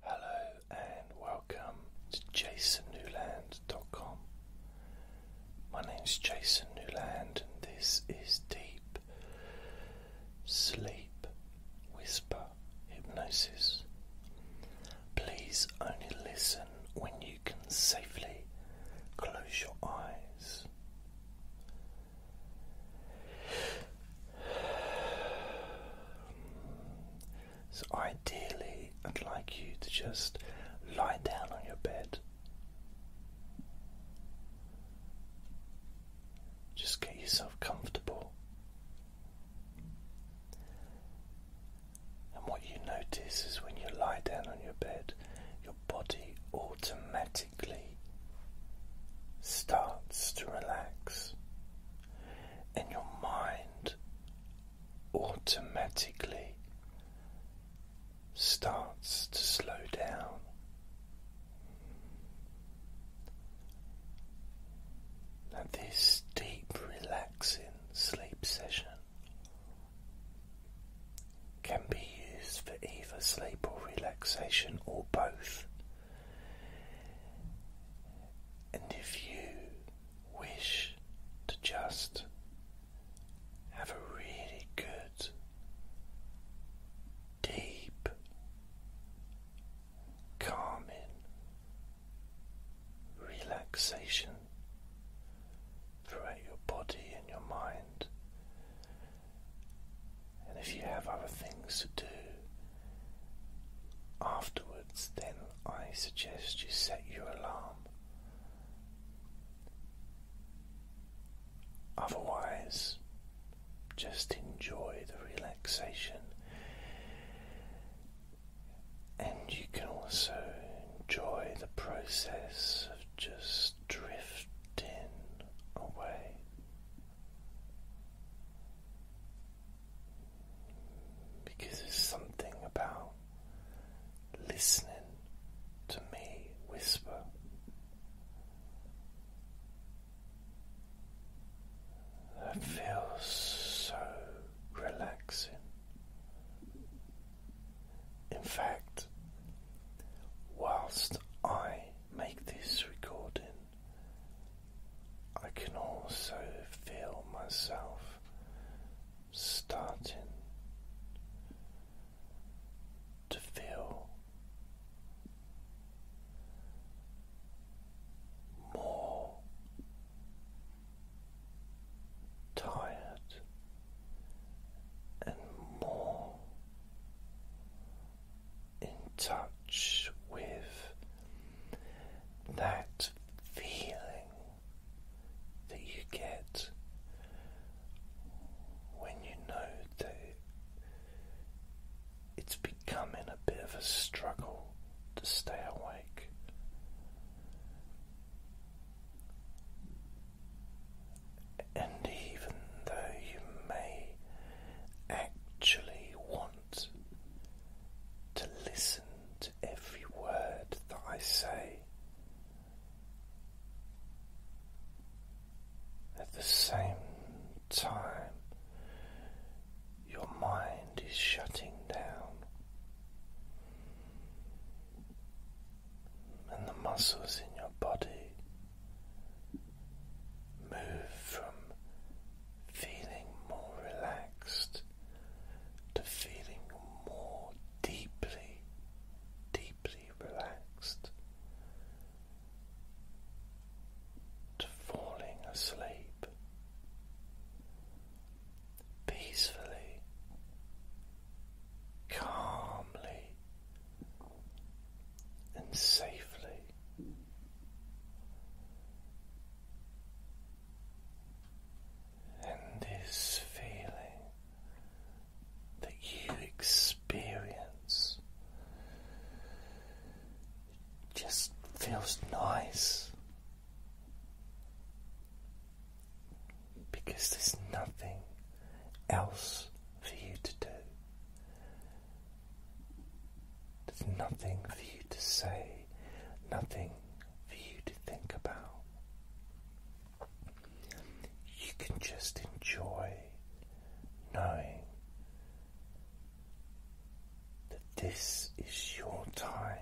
Hello and welcome to jasonnewland.com. My name's Jason Newland and this is Deep Sleep Whisper Hypnosis. Please only listen when you can safely close your eyes. So, ideally, I'd like you to just lie down on your bed. Just get yourself comfortable. And what you notice is when you lie down on your bed, your body automatically starts to relax and your mind automatically starts to slow down. Now, this deep, relaxing sleep session can be used for either sleep or relaxation or both. And if you wish to just have a really good, deep, calming relaxation throughout your body and your mind, and if you have other things to do, Afterwards, then I suggest you set your alarm. Otherwise, just enjoy the relaxation, and you can also enjoy the process of just drifting away. Because there's something about listening to me whisper. That feels so relaxing. In fact, whilst I make this recording, I can also feel myself starting to feel more tired and more in touch with that feeling that you get when you know that it's becoming a bit of a struggle to stay awake. And even though you may actually want to listen to every word that I say. At the same time, your mind is shutting down, and the muscles in your body move from feeling more relaxed, to feeling more deeply, deeply relaxed, to falling asleep peacefully, calmly, and safely and this feeling that you experience just feels nice because there's nothing else for you to do there's nothing for you to say, nothing for you to think about. You can just enjoy knowing that this is your time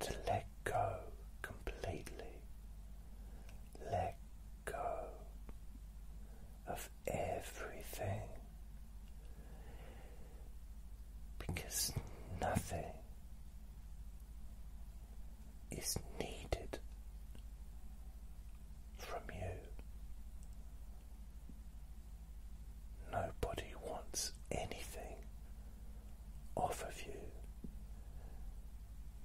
to let go completely. Let go of everything because nothing is needed from you. Nobody wants anything off of you.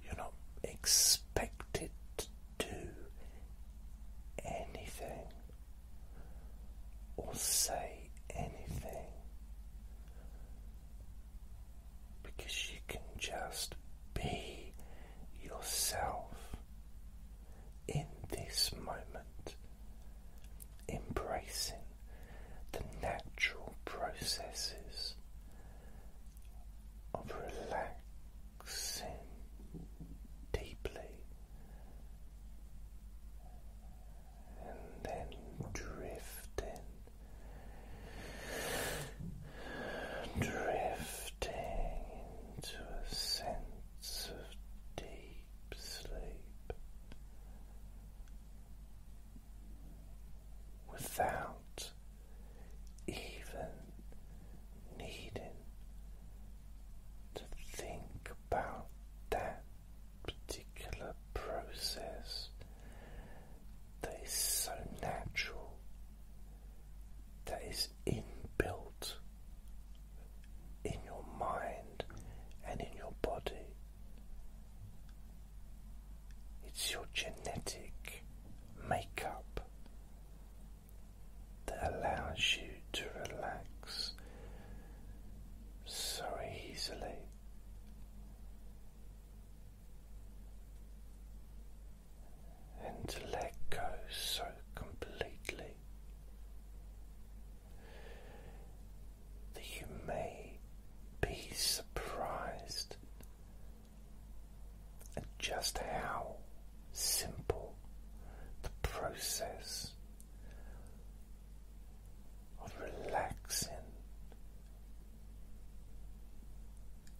You're not expected do anything or say anything because you can just be yourself in this moment, embracing the natural processes of relaxing deeply and then drifting, drifting into a sense of deep sleep without even needing to think about that particular process that is so natural, that is inbuilt in your mind and in your body. It's your genetic makeup that allows you to relax so easily. And to let go so completely that you may be surprised at just how simple the process of relaxing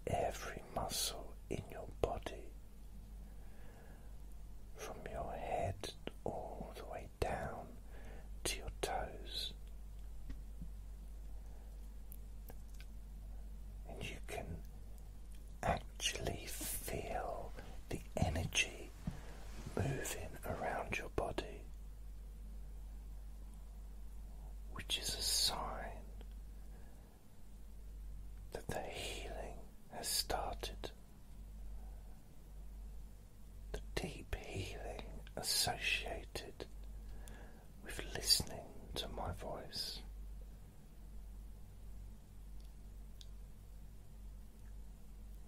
every muscle in your body from your head all the way down to your toes. And you can actually feel the energy moving around your body, which is a sign that the healing has started. The deep healing associated with listening to my voice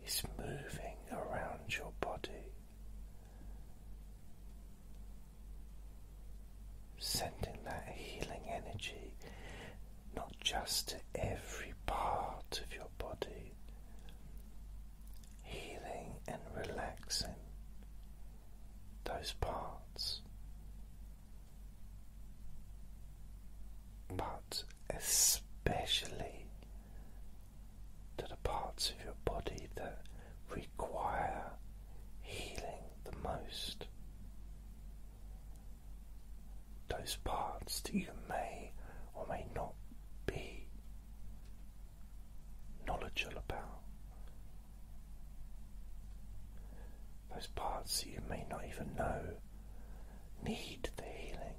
is moving around your body, sending that healing energy not just to every part of your body, healing and relaxing those parts but especially to the parts of your body that require healing the most. Those parts that you may or may not be knowledgeable about those parts that you may not even know need the healing.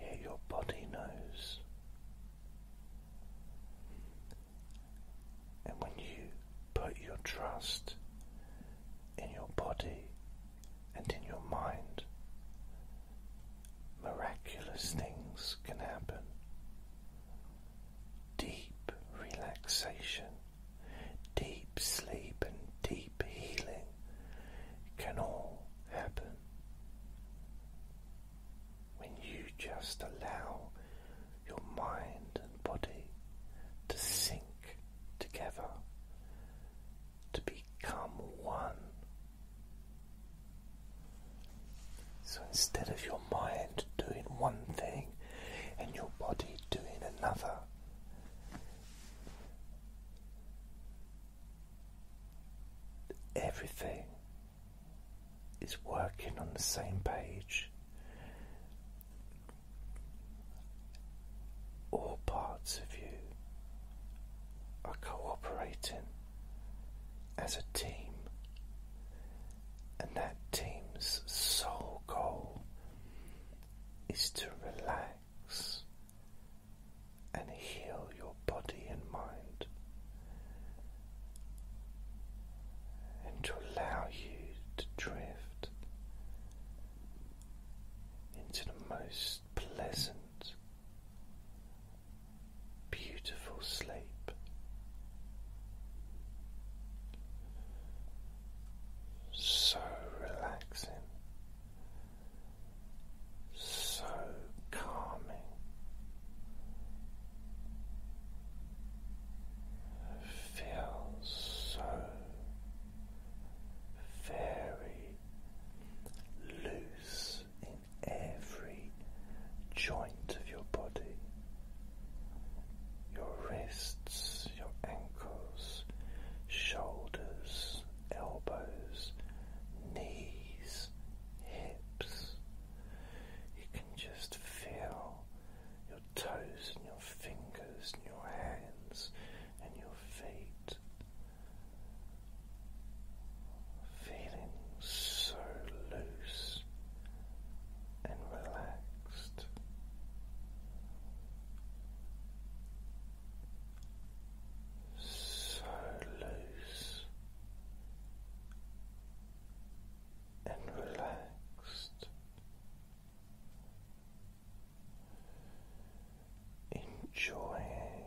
Yet your body knows. And when you put your trust in your body and in your mind, miraculous things can happen deep relaxation, deep sleep, and deep healing can all happen when you just allow your mind and body to sink together, to become one. So instead of your mind doing one thing and your body doing another. Everything is working on the same page. All parts of you are cooperating as a team and that team's sole goal is to relax and heal your body and mind and to allow you to drift into the most pleasant, beautiful sleep so relaxing, so calming. Feel so very loose in every joint of your body, your wrists, your ankles, shoulders, elbows, knees, hips. You can just feel your toes and your fingers and your hands and your feet. Feeling so loose and relaxed. So loose and relaxed. Enjoying,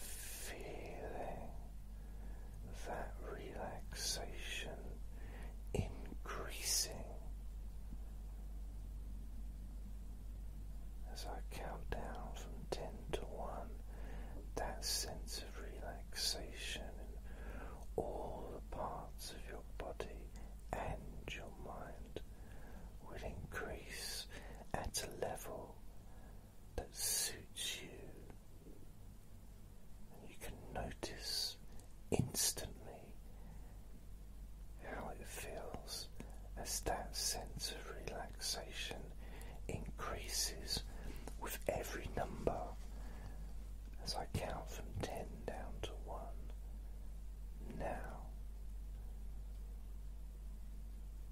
feeling that relaxation increasing as I count down from 10 to 1, that sense of relaxation in all the parts of your body and your mind will increase at a level that suits you. And you can notice instantly how it feels as that sense of relaxation increases with every number as I count from 10 down to 1. Now.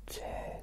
Ten,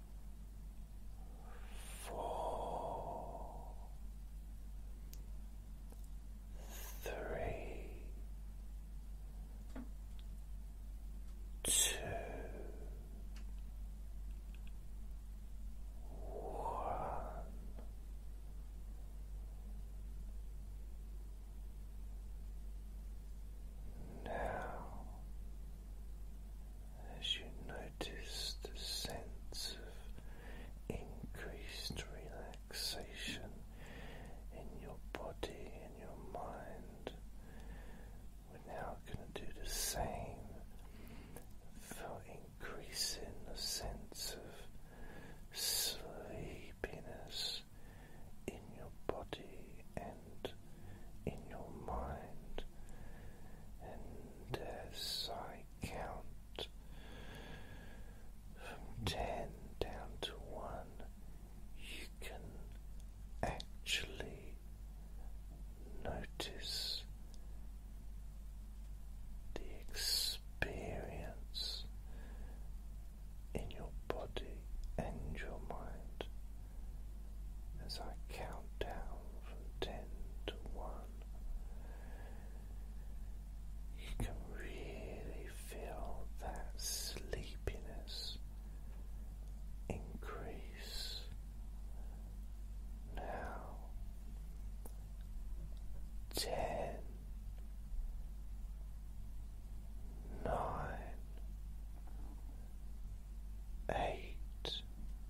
four, three, two, one. Now as you notice the sense of increased relaxation in your body and your mind. We're now going to do the same for increasing the sense of sleepiness in your body and in your mind, and as I count from ten down to one, you can actually notice the experience in your body and your mind as I count down from ten to one. You can really feel that sleepiness increase. Now, ten, nine, eight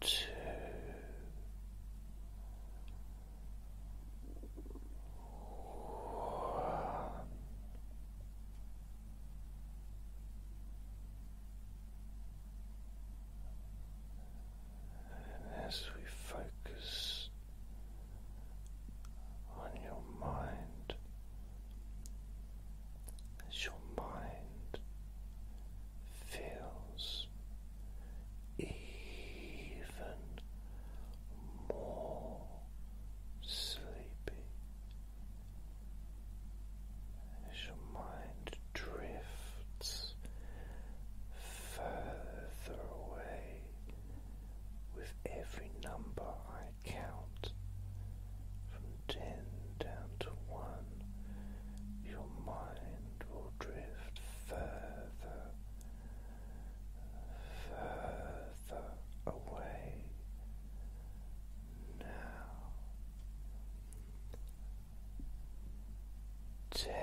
Two, one. And as we focus on your mind, as your mind feels even more sleepy as your mind drifts further away with every number I count ten down to one, your mind will drift further, further away. Now, ten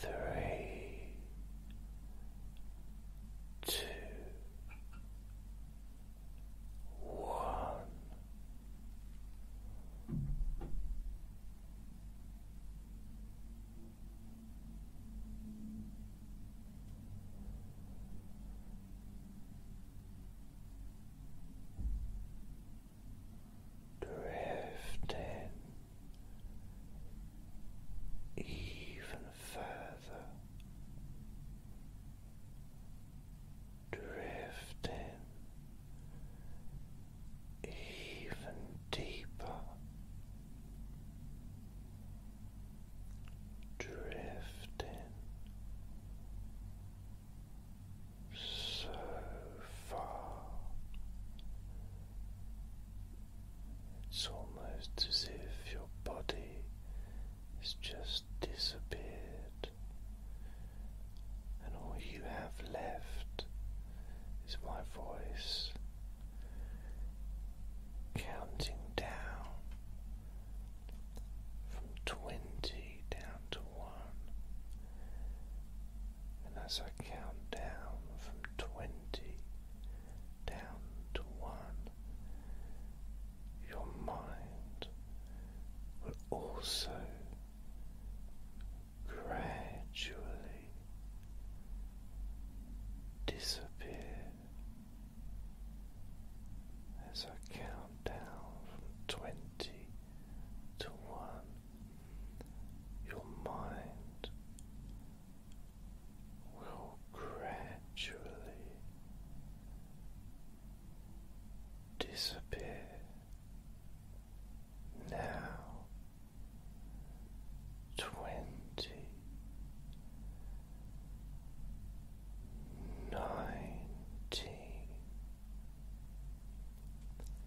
three, two, one. Drifting even further, drifting even deeper, drifting so far. It's almost as if your body has just disappeared, and all you have left is my voice counting down from twenty down to one. And as I count down from 20 down to 1, your mind will also gradually disappear as I count down from 20 to 1 your mind will gradually disappear now twenty nineteen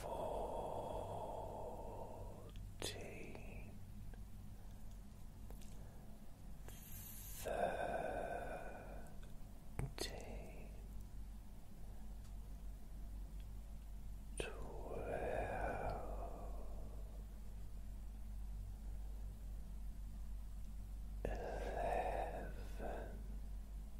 fourteen, thirteen, twelve. Eleven,